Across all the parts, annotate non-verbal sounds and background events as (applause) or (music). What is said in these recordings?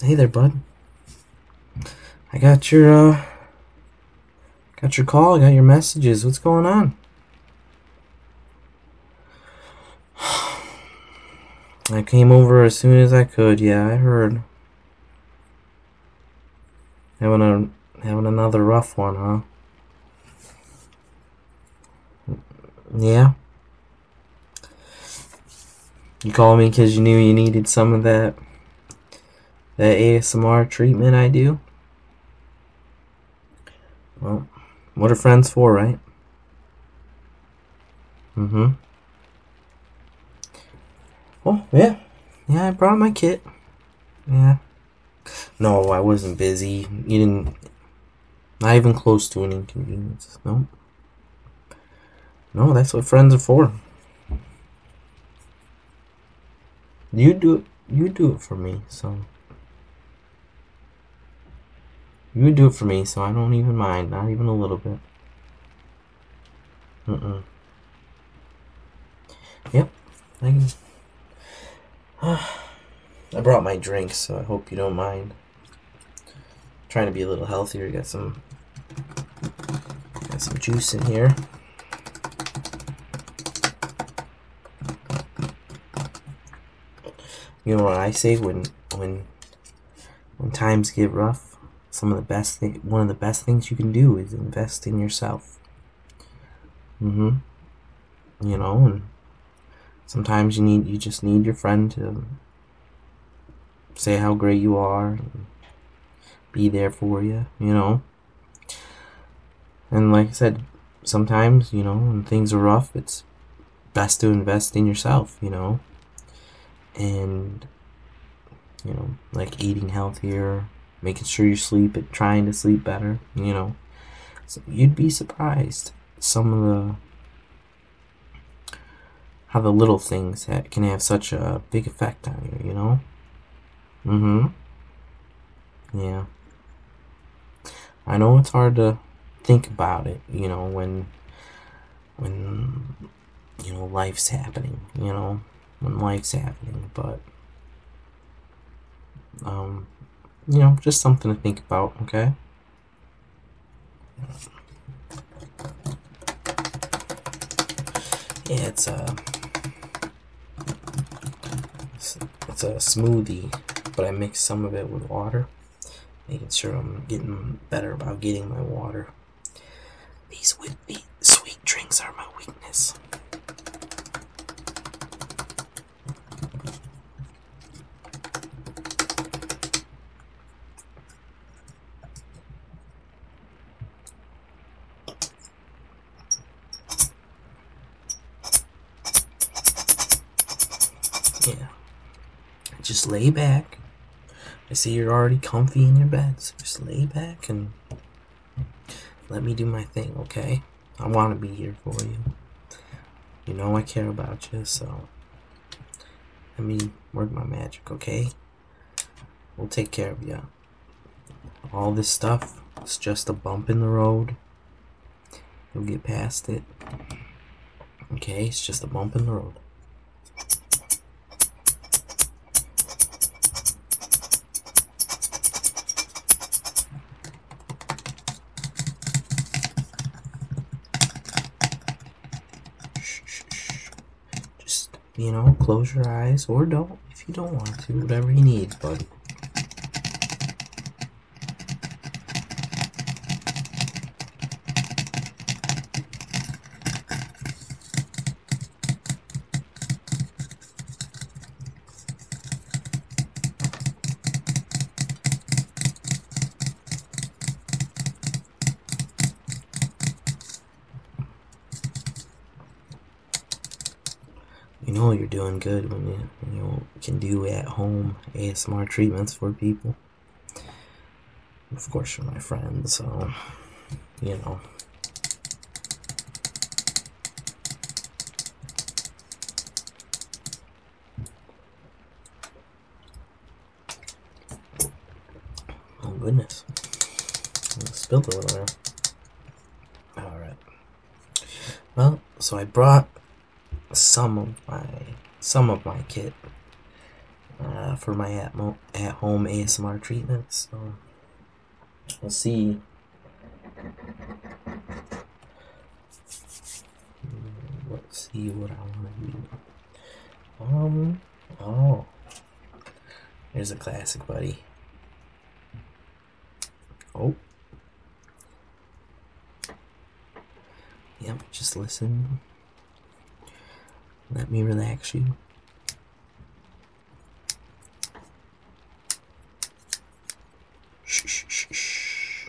Hey there, bud. I got your, uh, got your call, got your messages. What's going on? (sighs) I came over as soon as I could. Yeah, I heard. Having a having another rough one, huh? Yeah. You called me because you knew you needed some of that that ASMR treatment I do. Well, what are friends for, right? Mm-hmm. Oh yeah. Yeah, I brought my kit. Yeah. No, I wasn't busy. You didn't not even close to an inconvenience. No. No, that's what friends are for. You do it. You do it for me, so. You do it for me, so I don't even mind. Not even a little bit. Mm-mm. Yep. I, (sighs) I brought my drink, so I hope you don't mind trying to be a little healthier. Got some got some juice in here. You know what I say when when when times get rough, some of the best thing, one of the best things you can do is invest in yourself. Mhm. Mm you know, sometimes you need you just need your friend to say how great you are be there for you you know and like i said sometimes you know when things are rough it's best to invest in yourself you know and you know like eating healthier making sure you sleep and trying to sleep better you know so you'd be surprised some of the how the little things ha can have such a big effect on you, you know? Mm-hmm. Yeah. I know it's hard to think about it, you know, when when you know life's happening, you know, when life's happening, but um you know, just something to think about, okay? It's a, uh, it's a smoothie, but I mix some of it with water, making sure I'm getting better about getting my water. These sweet drinks are my weakness. Yeah. Just lay back. I see you're already comfy in your bed, so just lay back and let me do my thing, okay? I want to be here for you. You know I care about you, so let me work my magic, okay? We'll take care of you. All this stuff is just a bump in the road. we will get past it. Okay, it's just a bump in the road. Just, you know, close your eyes or don't if you don't want to. Whatever you need, buddy. You know you're doing good when you, can do at home ASMR treatments for people. Of course, for my friends, so, you know. Oh goodness. Spilled a little there. Alright. Well, so I brought some of my some of my kit uh, for my at, at home ASMR treatment. So we'll see Let's see what I want to do. Um, oh. There's a classic, buddy. Oh. Yep, just listen. Let me relax you. Shh, shh, shh, shh.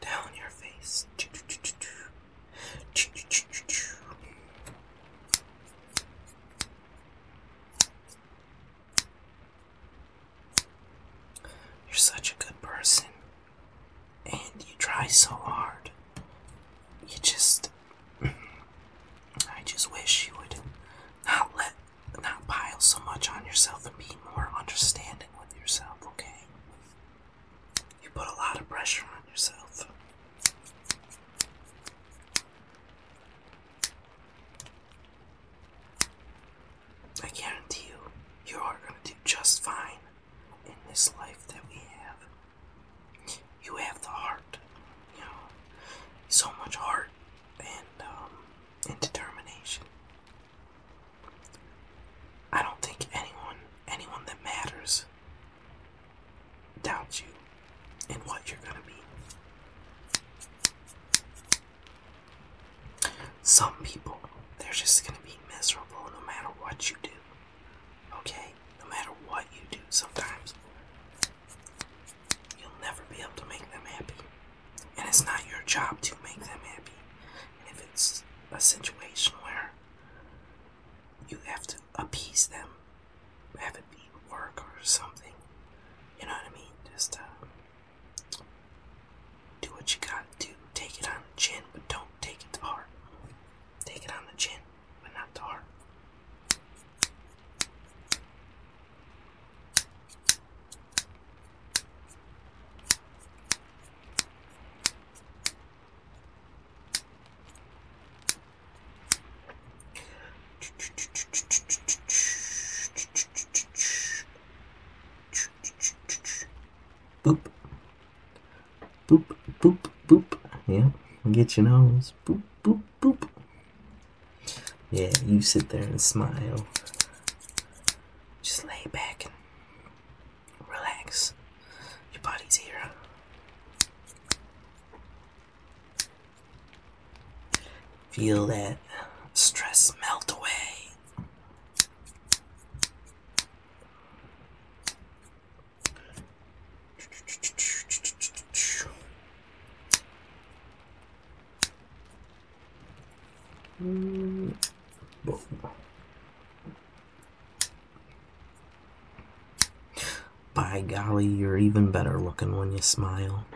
Down your face. You're such a good person, and you try so hard. You just, I just wish you would not let, not pile so much on yourself and be more understanding with yourself, okay? You put a lot of pressure on yourself. I guarantee you, you are going to do just fine in this life that we have you have the heart, you know, so much heart and um, and determination. I don't think anyone, anyone that matters, doubts you and what you're gonna be. Some people, they're just gonna be miserable no matter what you do. Okay? No matter what you do, sometimes You'll never be able to make them happy. And it's not your job to make them happy. And if it's a situation where you have to appease them, have it be work or something, you know what I mean? Just uh, do what you gotta do. Take it on the chin, but don't take it to heart. Take it on the chin but not the heart. Boop. Boop, boop, boop. Yeah, get your nose. Boop, boop. Boop. Yeah, you sit there and smile. Just lay back and relax. Your body's here. Feel that stress melt away. By golly, you're even better looking when you smile.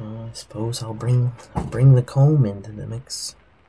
I suppose I'll bring I'll bring the comb into the mix.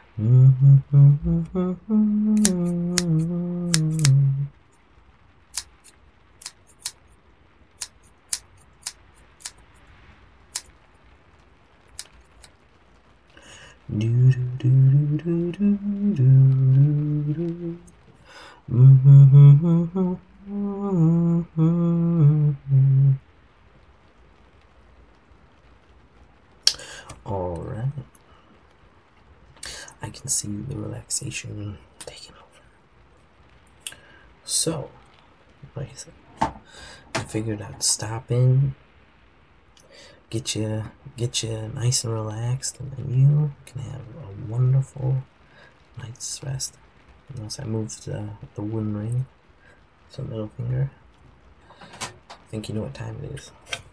Do do do do do do do do. Mm-hmm. All right. I can see the relaxation taking over. So, I said, I figured I'd stop in, get you, get you nice and relaxed, and then you can have a wonderful night's rest. Once I moved the, the wooden ring, so middle finger. think you know what time it is.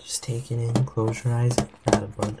Just take it in, close your eyes, got it, bud.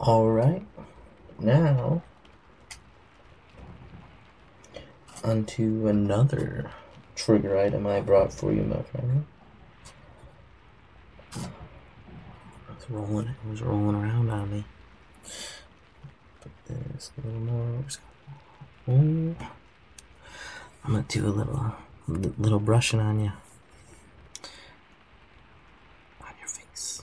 All right, now Onto another trigger item I brought for you, my friend. It's rolling, was rolling around on me. Put this a little more. I'm gonna do a little, little brushing on you. On your face.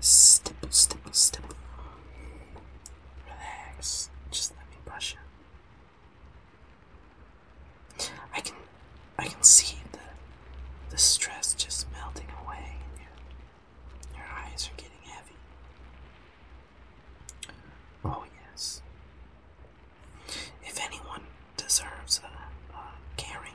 Stipple, stipple, stipple. Relax. Just let me brush it. I can, I can see the, the stress just melting away. Your, your eyes are getting heavy. Oh yes. If anyone deserves a uh, uh, caring,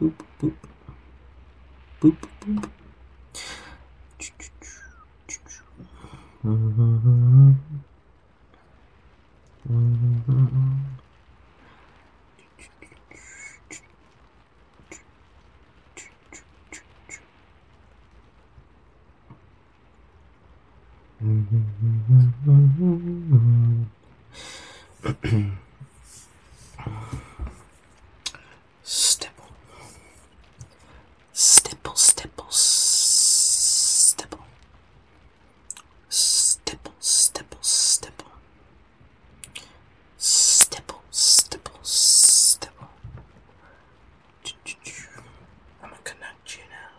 Boop, boop. Boop, boop. Mm-hmm stipple, stipple, stipple, stipple, stipple, stipple, stipple. Stipple, stipple, stipple. I'm gonna connect you now.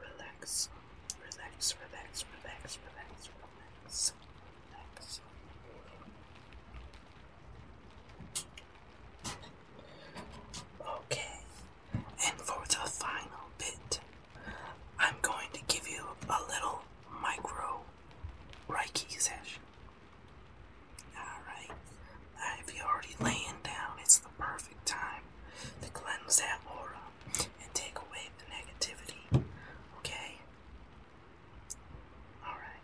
relax, relax, relax, relax, relax, relax, relax, relax. Okay, and for the final bit, I'm going to give you a little micro Reiki session. Alright, now if you're already laying down, it's the perfect time to cleanse that aura and take away the negativity. Okay? Alright.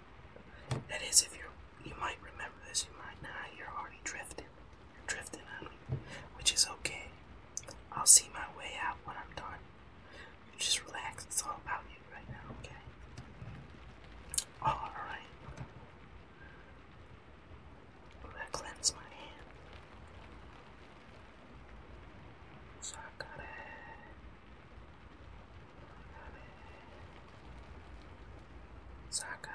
That is if you you might remember this, you might not, you're already drifting. You're drifting on me. Which is okay. I'll see my way out when I'm done. You just relax, it's all about you right now, okay? Alright i cleanse my hand. So I gotta, I gotta, so I got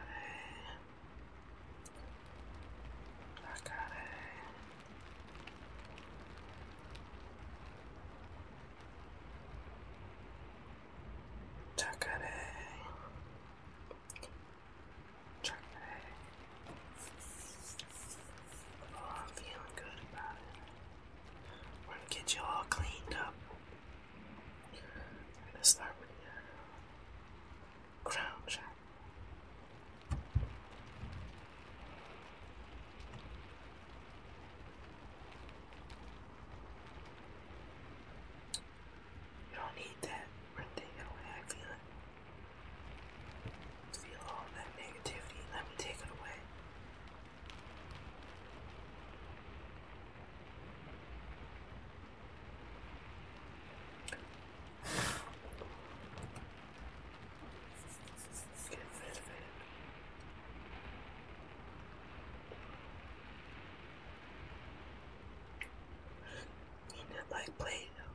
I'm feeling good about it. We're gonna get you all cleaned up. We're gonna start with your crown chakra. You don't need that when they don't have feeling. Feel all that negativity. Let me take it away. Get rid of it. Eat it like Play-Doh.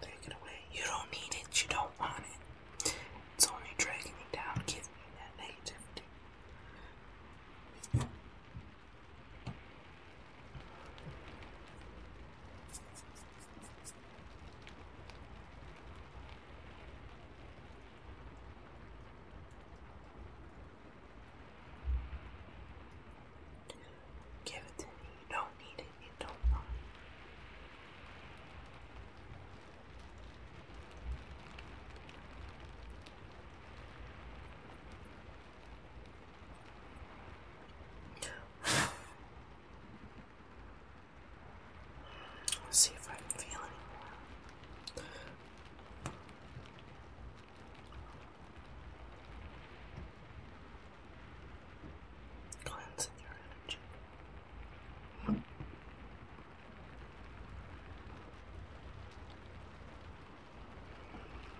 Take it away. You don't need it. You don't want it. It's only dragging me down. Give me that negativity. Give it to me. You don't need it. You don't want it let see if I can feel it. Cleansing your energy.